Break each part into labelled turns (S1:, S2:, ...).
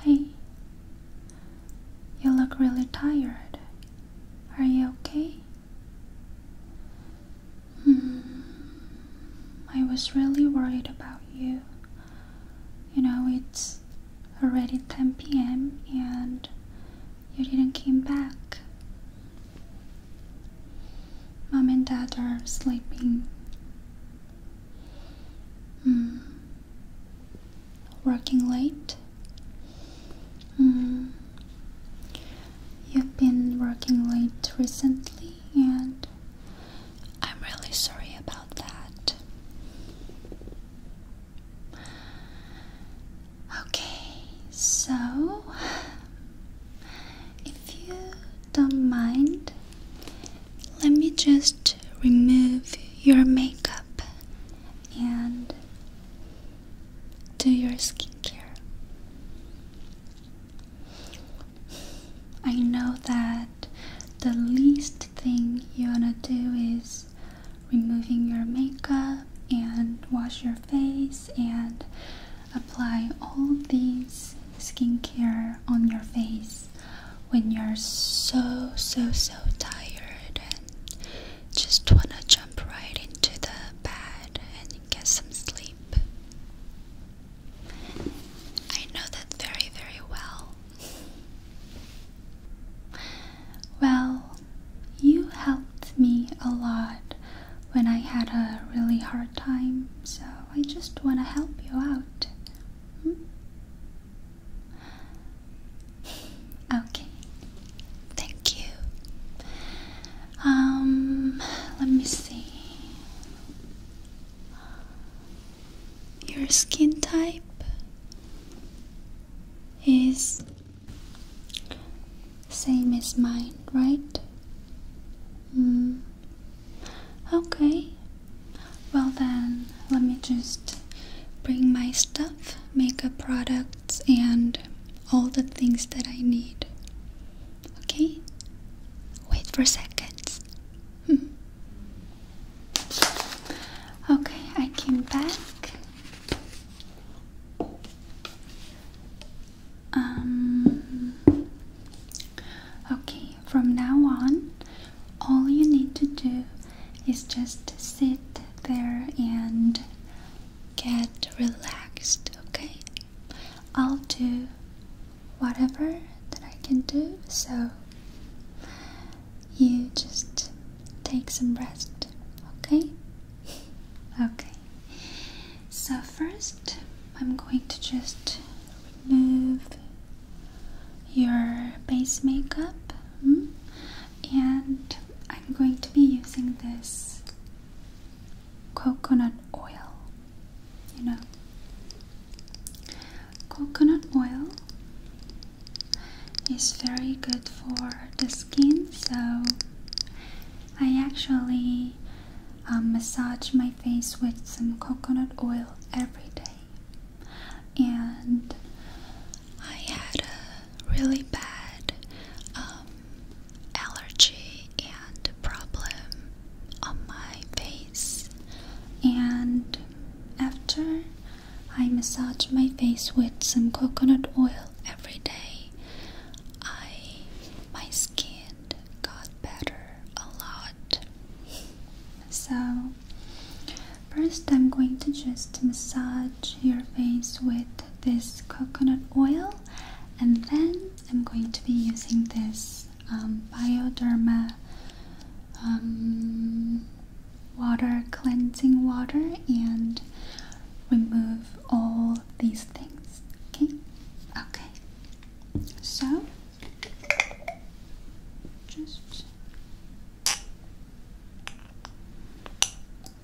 S1: Hey, you look really tired. Are you okay? Hmm, I was really worried about you. You know, it's already 10 p.m. and you didn't came back. Mom and Dad are sleeping. Hmm, working late. Mm. You've been working late recently, and I'm really sorry about that. Okay, so if you don't mind, let me just remove your makeup and do your skincare. I know that the least thing you want to do is removing your makeup and wash your face and apply all these skincare on your face when you're so, so, so tired and just want to jump right into the bed and get some sleep. I know that very, very well. Well, you helped me a lot when I had a really hard time, so I just want to help you out. Hmm? Okay. Thank you. Um, let me see. Your skin type is same as mine, right? Mm. Okay. Well, then, let me just bring my stuff, makeup products, and all the things that I need. Okay? Wait for seconds. Hmm. Okay, I came back. Um, okay, from now on, all you need to do is just sit there and get relaxed, okay? I'll do whatever that I can do, so you just take some rest, okay? okay, so first I'm going to just remove your base makeup. Hmm? And I'm going to be using this coconut oil. You know, coconut oil is very good for the skin, so I actually um, massage my face with some coconut oil every day and I had a really bad um, allergy and problem on my face. And after I massage my face with some coconut oil every day, I my skin got better a lot. So First, I'm going to just massage your face with this coconut oil, and then I'm going to be using this um, Bioderma um, water cleansing water and remove all these things. Okay, okay, so just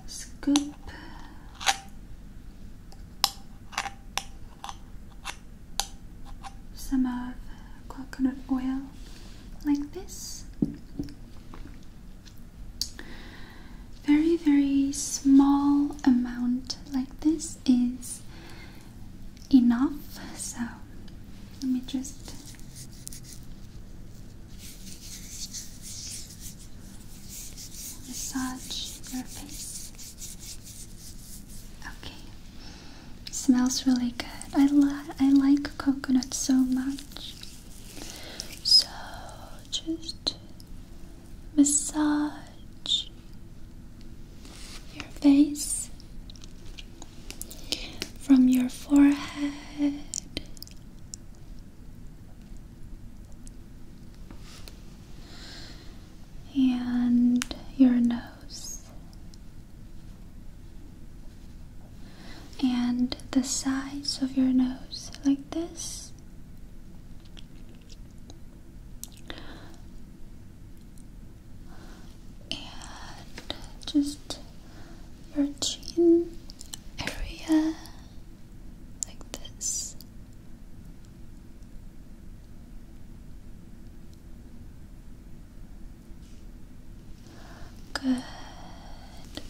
S1: Scoop. Some of coconut oil like this. Very, very small amount like this is enough so let me just massage your face okay smells really good I, li I like coconut so much so just massage your face from your forehead. And your nose, and the sides of your nose, like this, and just your chin area like this. Good.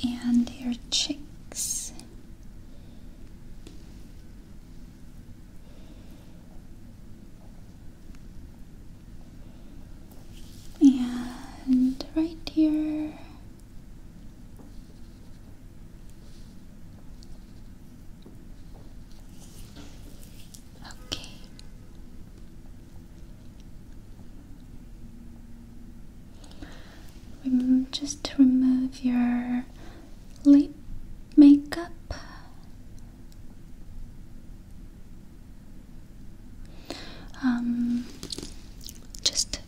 S1: And your cheeks. And right here. Okay. Rem just remove your lip makeup. Um, just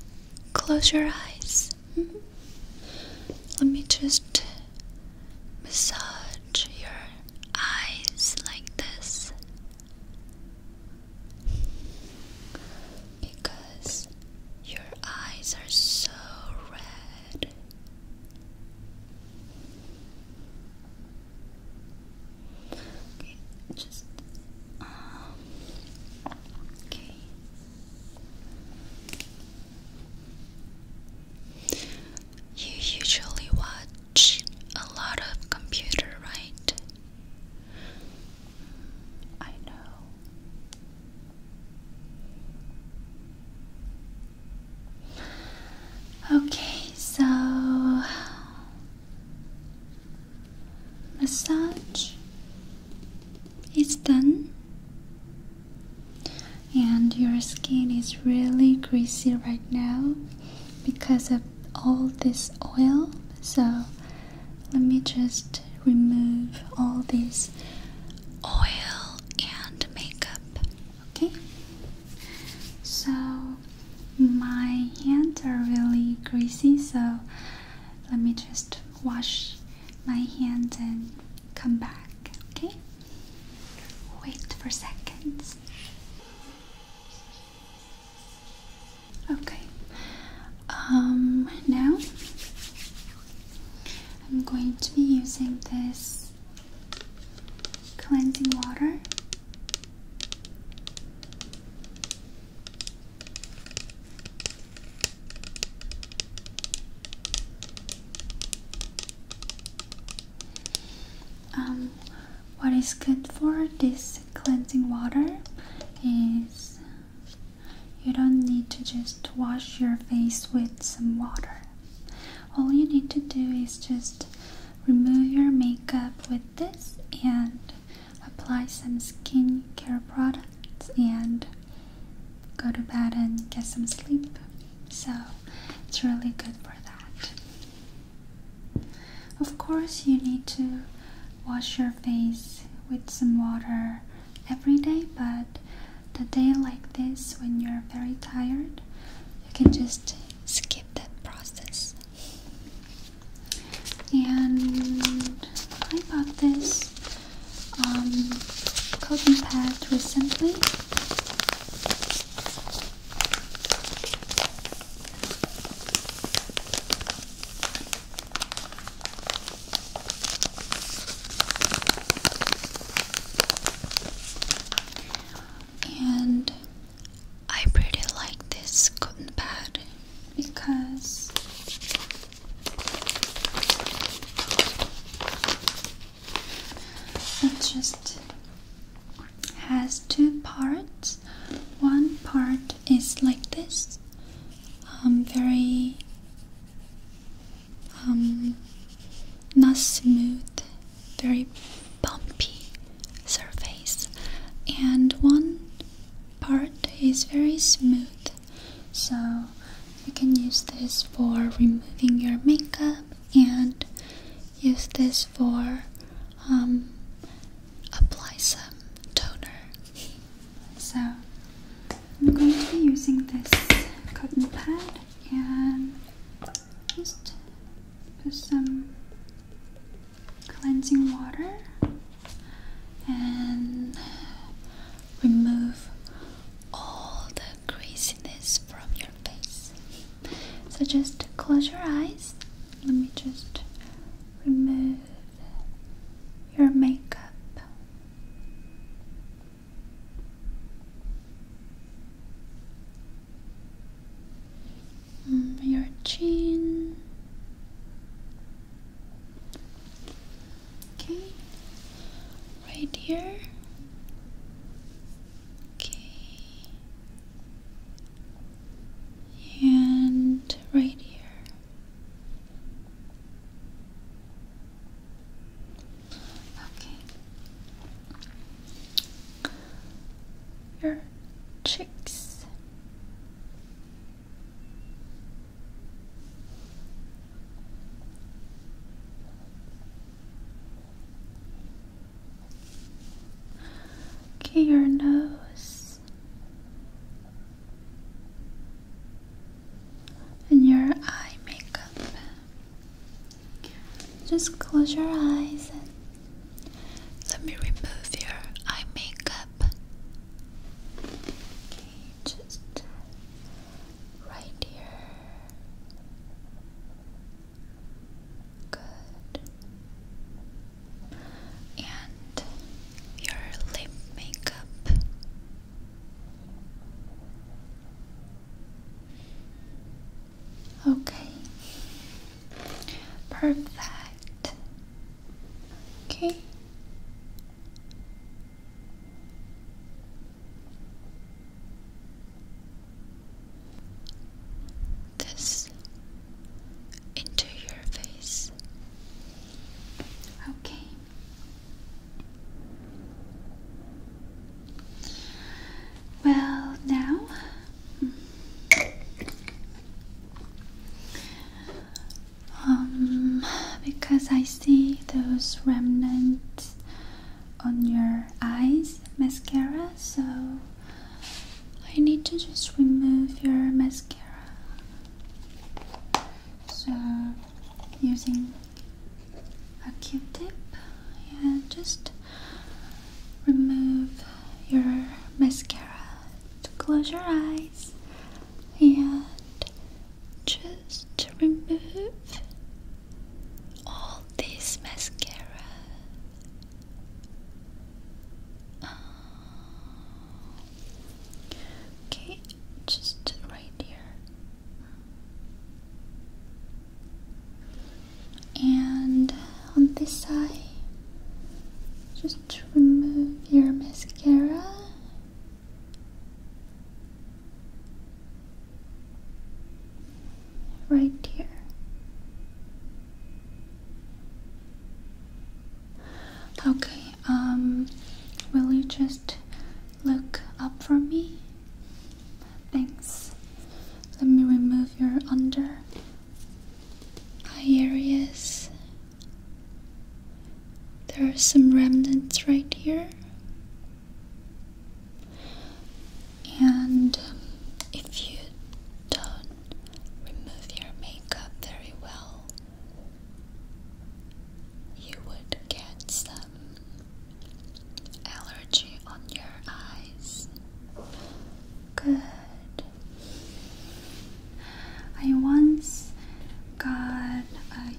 S1: close your eyes. Let me just massage your eyes like this because your eyes are so red. Okay, just um, okay. You usually watch a lot of computer, right? I know. Okay, so massage is done and your skin is really greasy right now because of all this oil so let me just remove all this oil and makeup okay so my hands are really greasy, so let me just wash my hands and come back, okay? Wait for seconds. Okay. Um now I'm going to be using this cleansing water um, what is good for this cleansing water is you don't need to just wash your face with some water. All you need to do is just remove your makeup with this and apply some skincare products and go to bed and get some sleep. So it's really good for that. Of course, you need to wash your face with some water every day, but the day like this when you're very tired, you can just skip that process. And I bought this um, cotton pad recently and I pretty like this cotton pad because it just has two parts. One part is like this, um, very um, not smooth, very bumpy surface, and one part is very smooth, so you can use this for removing your makeup and use this for um, apply some toner. So I'm going to be using this cotton pad and just put some cleansing water and remove all the greasiness from your face. So just close your eyes. Let me just remove your makeup. Um, your chin. Okay, right here. Okay, and right here. Okay, your cheeks. Okay, your nose and your eye makeup. Just close your eyes and let me remove your eye makeup. just right here. Good. And your lip makeup. Okay. Perfect. Okay. This into your face. Okay. Well, now mm, um, because I see those remnants on your eyes mascara, so I need to just remove your mascara. So, using a q tip, yeah, just remove your mascara to close your eyes and just to remove all this mascara. Uh, okay, just right here. And on this side, just just remove your mascara. Right here. Okay, um, will you just look up for me? Thanks. Let me remove your under eye areas. There are some remnants right here. And um, if you don't remove your makeup very well, you would get some allergy on your eyes. Good. I once got a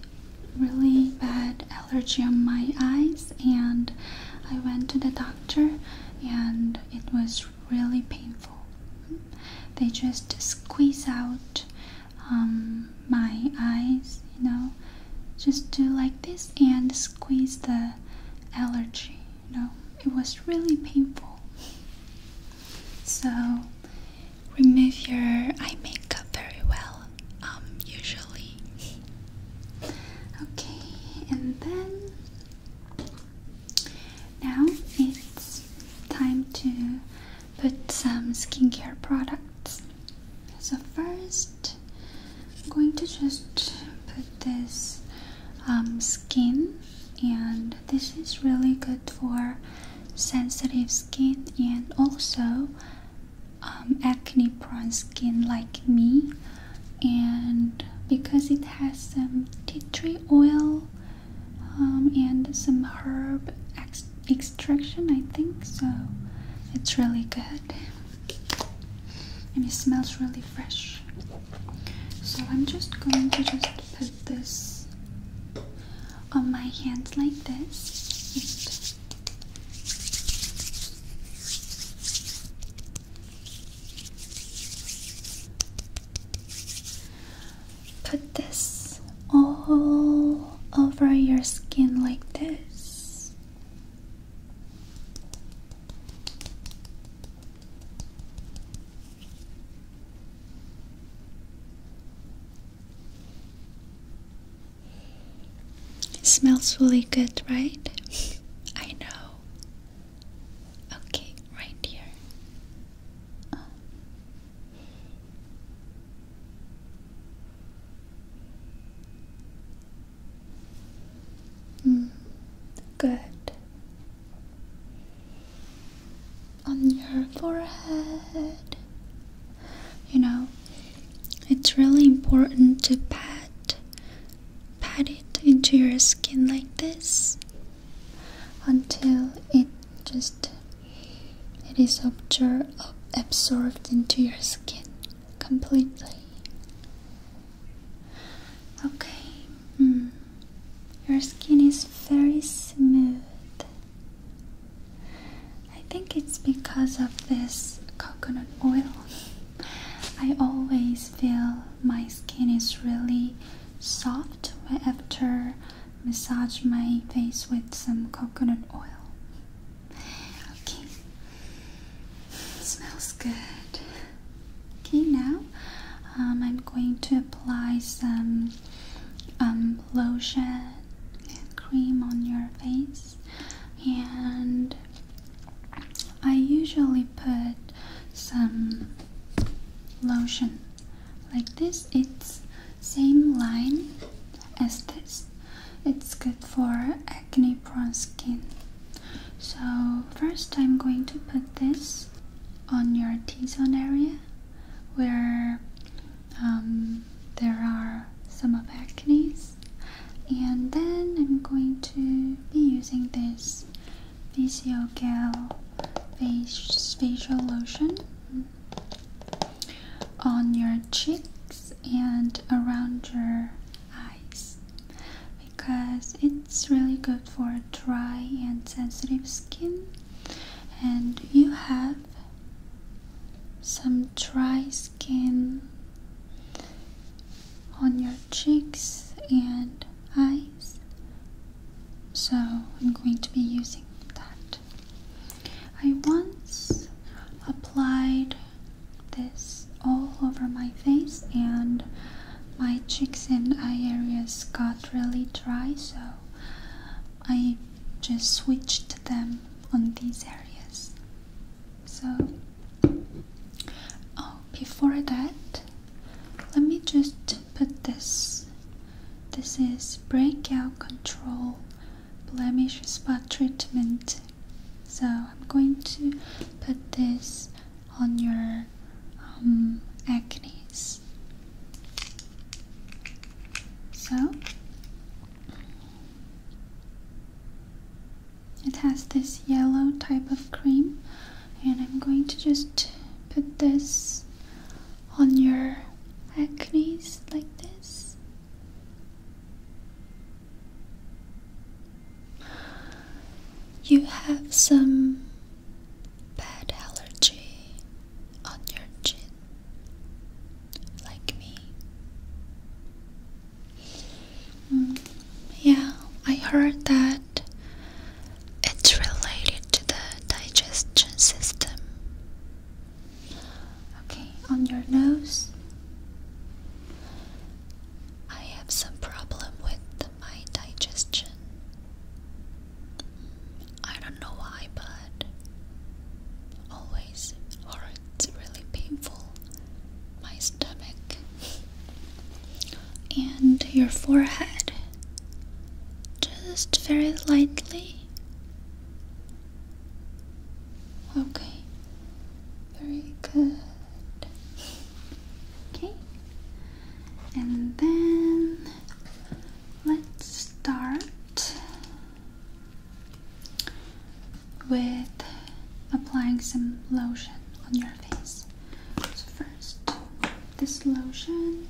S1: really bad allergy on my eyes, and I went to the doctor, and it was really painful. They just squeeze out um, my eyes, you know, just do like this and squeeze the allergy. No, it was really painful. So, remove your eye makeup very well, um, usually. Okay, and then now it's time to put some skincare products. So, first, I'm going to just put this um, skin and this is really good for sensitive skin and also um, acne prone skin like me and because it has some tea tree oil um, and some herb extraction I think so it's really good and it smells really fresh so I'm just going to just put this on my hands like this. Put this all over your skin like this. It smells really good, right? I know. Okay, right here. Oh. good on your forehead. You know, it's really important to pat pat it into your skin like this until it just it is absorbed into your skin completely. Okay. Hmm. Your skin is very smooth. I think it's because of this coconut oil. I always feel my skin is really soft after massage my face with some coconut oil. Okay. smells good. Okay, now um, I'm going to apply some um, lotion cream on your face and I usually put some lotion like this it's same line as this it's good for acne prone skin so first I'm going to put this on your T-zone area where um, there are some of acne's and then I'm going to be using this VCO Gel face, Facial Lotion on your cheeks and around your eyes because it's really good for dry and sensitive skin and you have some dry skin on your cheeks and eyes so I'm going to be using that I once applied this all over my face and my cheeks and eye areas got really dry so I just switched them on these areas. So, oh, before that, let me just put this. This is breakout control blemish spot treatment. So, I'm going to put this on your um, acne so it has this yellow type of cream, and I'm going to just put this on your acne like this. You have some bad allergy on your chin, like me. Mm, yeah, I heard that it's related to the digestion system. Okay, on your nose. I have some problem with my digestion. Mm, I don't know why, but always, or really painful, my stomach. And your forehead, just very lightly. Okay, very good. Okay, and then let's start with applying some lotion on your face. So, first, this lotion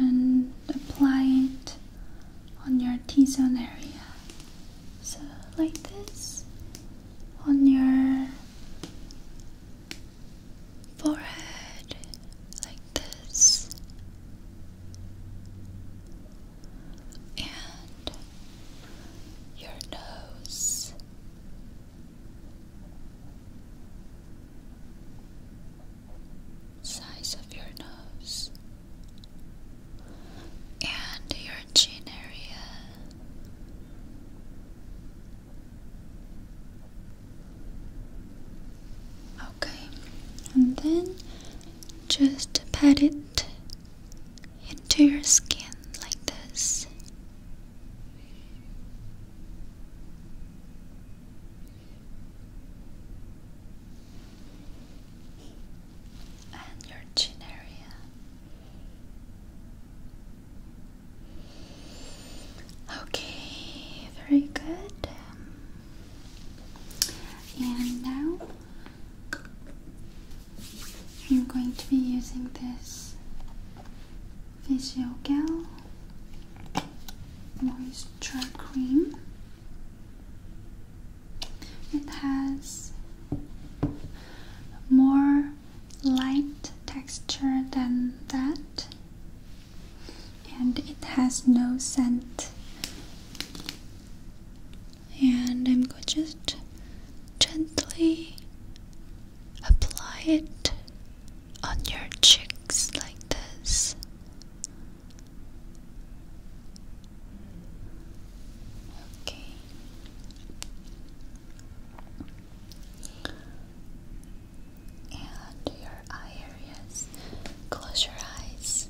S1: and apply it on your T-zone area. So like this on your forehead, like this, and your nose size of your nose and your chin area. Okay, and then just pat it into your skin like this. And your chin area. Okay, very good. And now I'm going to be using this Visio Gel Moisture Cream. It has more light texture than that, and it has no scent. And I'm going to just gently apply it on your cheeks like this. Okay. And your eye areas. Close your eyes.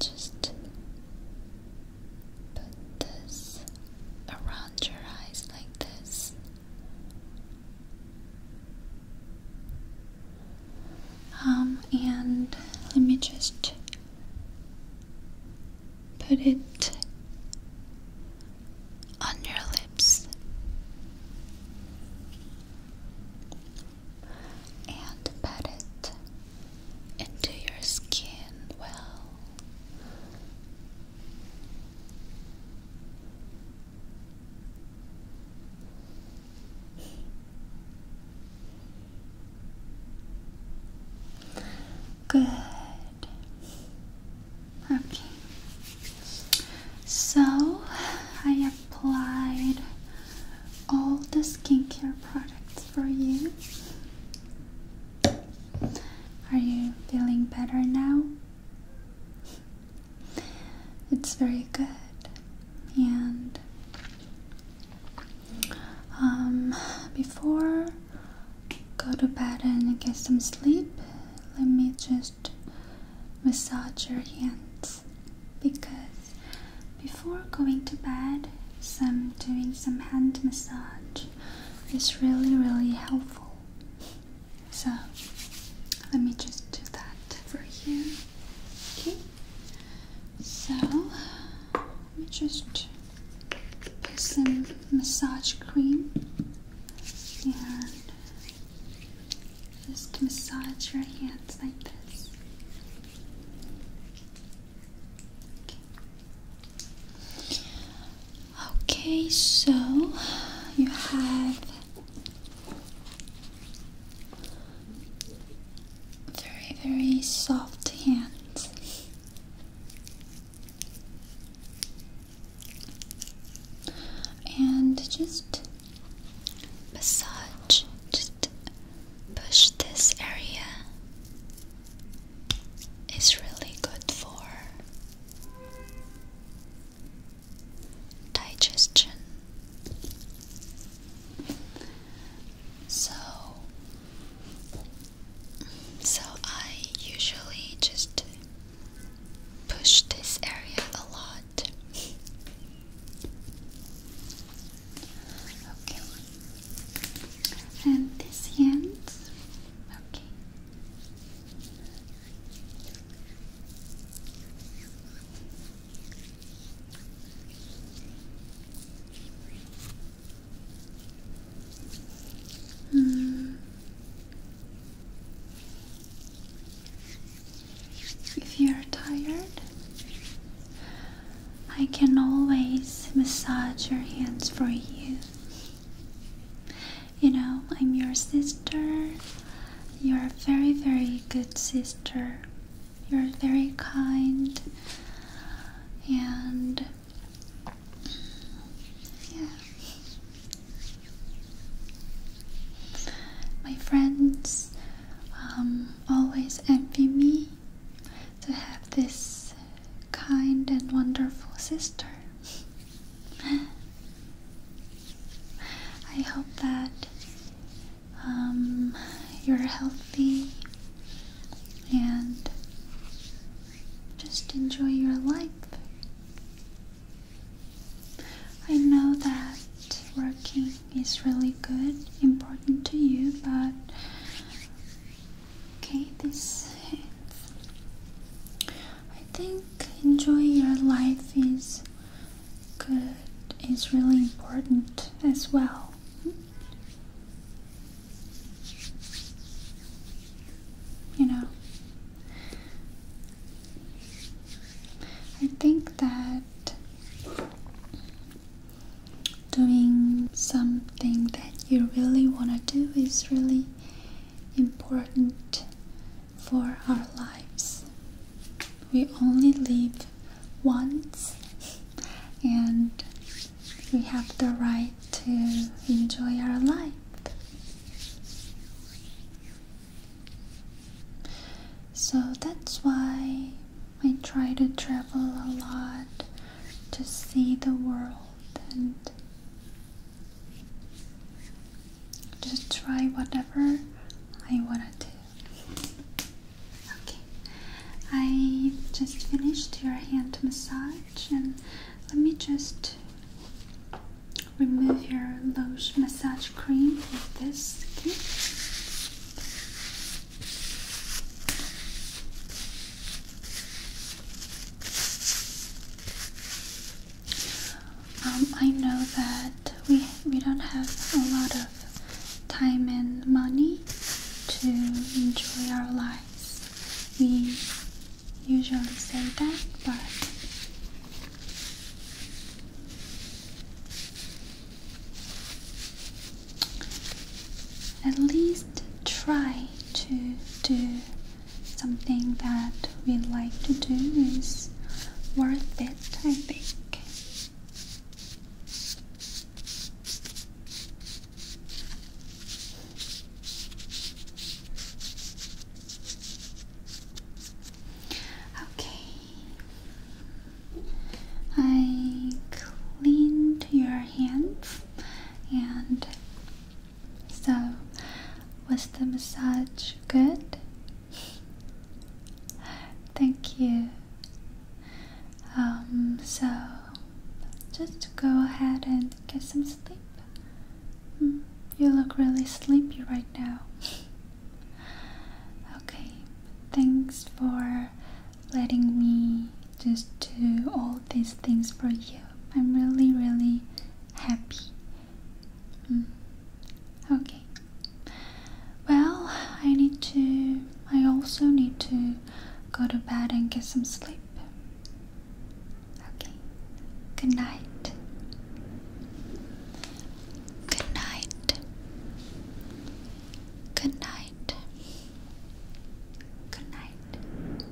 S1: Just Put this around your eyes like this. Um, and let me just put it on your lips. And pat it into your skin well. Good. Okay. So I applied all the skincare products for you. Are you feeling better now? It's very good. And um, before go to bed and get some sleep, let me just massage your hands because before going to bed, some doing some hand massage it's really, really helpful. So let me just do that for you. Okay. So let me just put some massage cream and just massage your hands like this. Okay, so you have very, very soft hands. And just massage, just push this area is really good for digestion. So, so I usually just push this area a lot. Okay. And this end. Okay. Mm. If you're tired, I can always massage your hands for you. You know, I'm your sister. You're a very, very good sister. You're very kind. And yeah. My friends um, always envy me to have this kind and wonderful sister. I hope that um, you're healthy and just enjoy your life. I know that working is really good, important to you, but Okay, this hand. I think enjoy your life is good, is really important as well. You know, I think that doing something that you really want to do is really important for our lives. We only live once and we have the right to enjoy our life. So that's why I try to travel a lot to see the world and just try whatever I want to. Okay, I just finished your hand massage, and let me just remove your lotion massage cream with this. Okay. Um, I know that we we don't have a lot of time and money to enjoy our lives. We usually say that, but at least try to do something that we like to do is worth it, I think. Okay, I cleaned your hands and so, was the massage good? Thank you. Um, so, just go ahead and get some sleep. Hmm, you look really sleepy right now. okay, thanks for letting me just do all these things for you. I'm really, really happy. Mm. Okay. Well, I need to. I also need to go to bed and get some sleep. Okay. Good night. Good night. Good night. Good night.